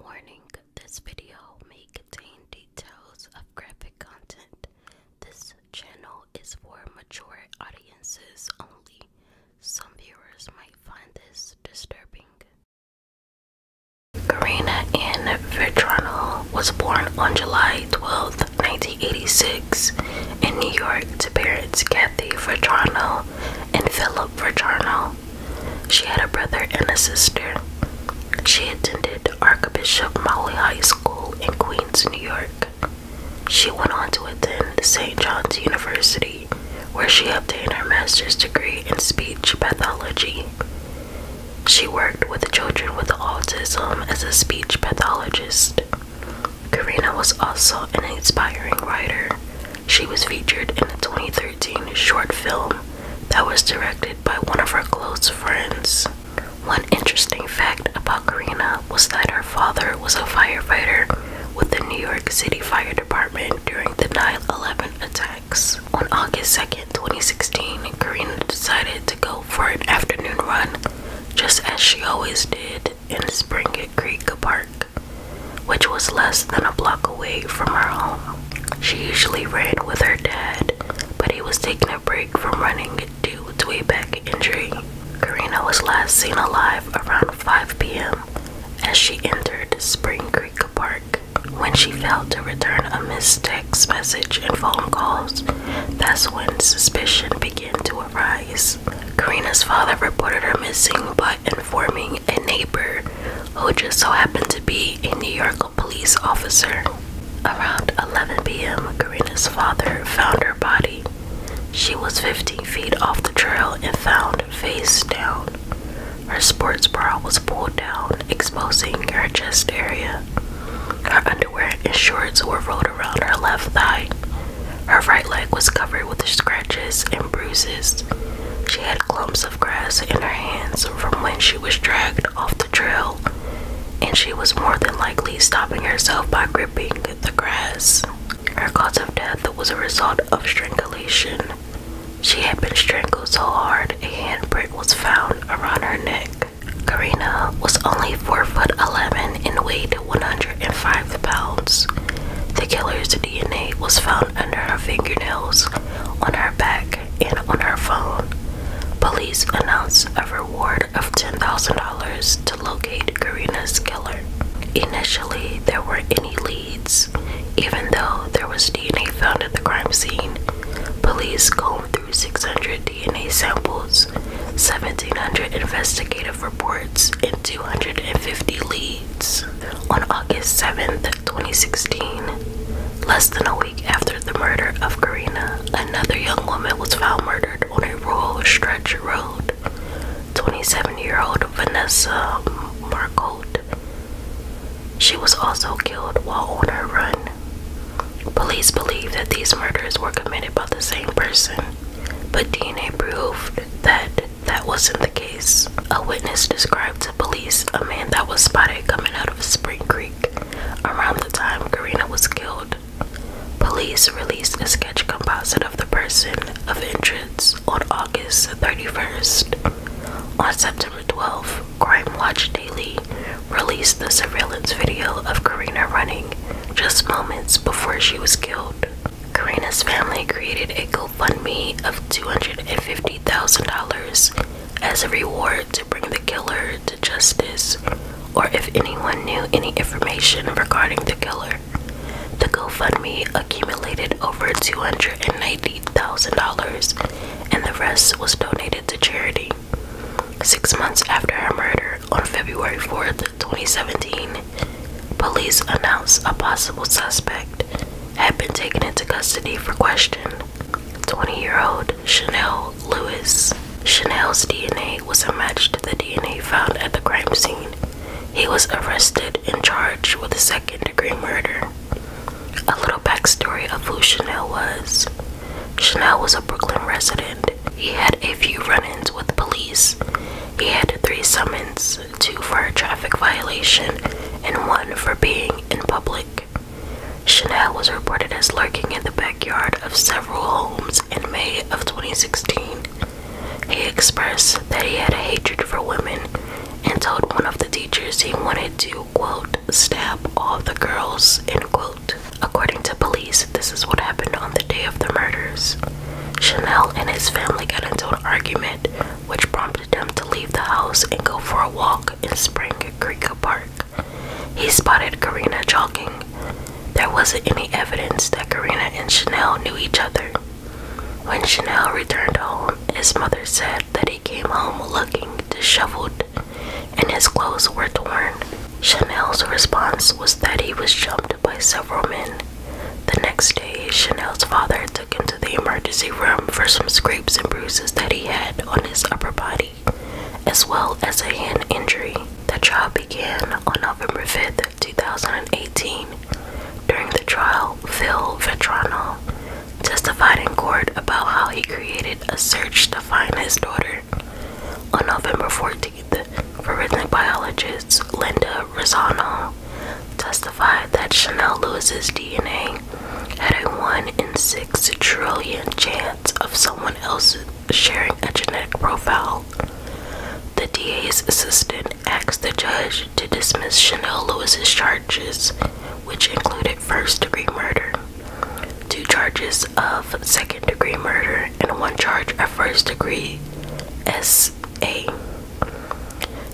Warning, this video may contain details of graphic content. This channel is for mature audiences only. Some viewers might find this disturbing. Karina and Vetrano was born on July 12, 1986, in New York to parents Kathy Vetrano and Philip Vetrano. She had a brother and a sister. She attended Archbishop Molly High School in Queens, New York. She went on to attend St. John's University, where she obtained her master's degree in speech pathology. She worked with children with autism as a speech pathologist. Karina was also an inspiring writer, she was featured in a 2013 short film that was directed by one of her close friends. One interesting fact about Karina was that her father was a firefighter with the New York City Fire Department during the 9 11 attacks. On August 2, 2016, Karina decided to go for an afternoon run, just as she always did, in Spring Creek Park which was less than a block away from her home. She usually ran with her dad, but he was taking a break from running due to a back injury. Karina was last seen alive around 5 p.m. as she entered Spring Creek Park when she failed to return a missed text message and phone calls. That's when suspicion began to arise. Karina's father reported her missing, but Forming a neighbor who just so happened to be a New York police officer. Around 11 p.m., Karina's father found her body. She was 15 feet off the trail and found face down. Her sports bra was pulled down, exposing her chest area. Her underwear and shorts were rolled around her left thigh. Her right leg was covered with scratches and bruises. She had clumps of grass in her hands from when she was dragged off the trail, and she was more than likely stopping herself by gripping the grass. Her cause of death was a result of strangulation. She had been strangled so hard a handprint was found around her neck. Karina was only 4 foot 11 and weighed 100 and five pounds. The killer's DNA was found under her fingernails, on her back, and on her phone. Police announced a reward of $10,000 to locate Karina's killer. Initially, there weren't any leads. Even though there was DNA found at the crime scene, police combed through 600 DNA samples. 1,700 investigative reports and 250 leads on August 7th, 2016. Less than a week after the murder of Karina, another young woman was found murdered on a rural stretch road. 27-year-old Vanessa Marcotte. She was also killed while on her run. Police believe that these murders were committed by the same person but DNA proved that that wasn't the case. A witness described to police a man that was spotted coming out of Spring Creek around the time Karina was killed. Police released a sketch composite of the person of interest on August 31st. On September 12th, Crime Watch Daily released the surveillance video of Karina running just moments before she was killed. Karina's family created a GoFundMe of $250,000 as a reward to bring the killer to justice, or if anyone knew any information regarding the killer. The GoFundMe accumulated over $290,000, and the rest was donated to charity. Six months after her murder, on February 4th, 2017, police announced a possible suspect had been taken into custody for question. 20 year old Chanel Lewis. Chanel's DNA was a match to the DNA found at the crime scene. He was arrested and charged with second degree murder. A little backstory of who Chanel was. Chanel was a Brooklyn resident. He had a few run ins with police. He had three summons two for a traffic violation and one for being in public. Chanel was reported as lurking in the backyard of several homes in May of 2016. He expressed that he had a hatred for women and told one of the teachers he wanted to quote, stab all the girls, end quote. According to police, this is what happened on the day of the murders. Chanel and his family got into an argument, which prompted him to leave the house and go for a walk in Spring Creek Park. He spotted Karina jogging. There wasn't any evidence that Karina and Chanel knew each other. When Chanel returned home, his mother said that he came home looking disheveled and his clothes were torn. Chanel's response was that he was jumped by several men. The next day, Chanel's father took him to the emergency room for some scrapes and bruises that he had on his upper body, as well as a hand injury. The trial began on November fifth, two 2018. During the trial, Phil Vetrano, testified in court about how he created a search to find his daughter. On November 14th, forensic biologist Linda Rosano testified that Chanel Lewis's DNA had a 1 in 6 trillion chance of someone else sharing a genetic profile. The DA's assistant asked the judge to dismiss Chanel Lewis's charges which included first degree murder, two charges of second degree murder, and one charge of first degree SA.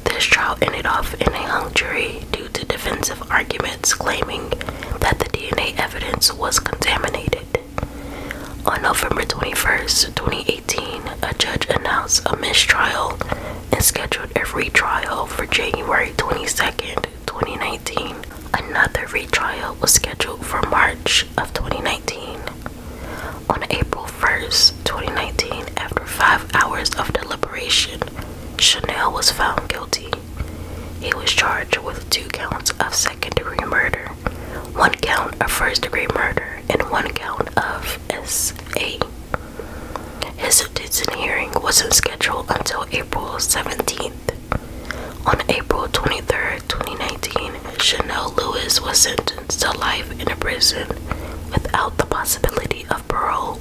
This trial ended off in a hung jury due to defensive arguments claiming that the DNA evidence was contaminated. On November 21, 2018, a judge announced a mistrial and scheduled a retrial for January 22nd, 2019. Another retrial was scheduled for March of 2019. On April 1st, 2019, after five hours of deliberation, Chanel was found guilty. He was charged with two counts of second degree murder, one count of first degree murder, and one count of SA. His detention hearing wasn't scheduled until April 17th. On April 23, 2019, Chanel Lewis was sentenced to life in a prison without the possibility of parole.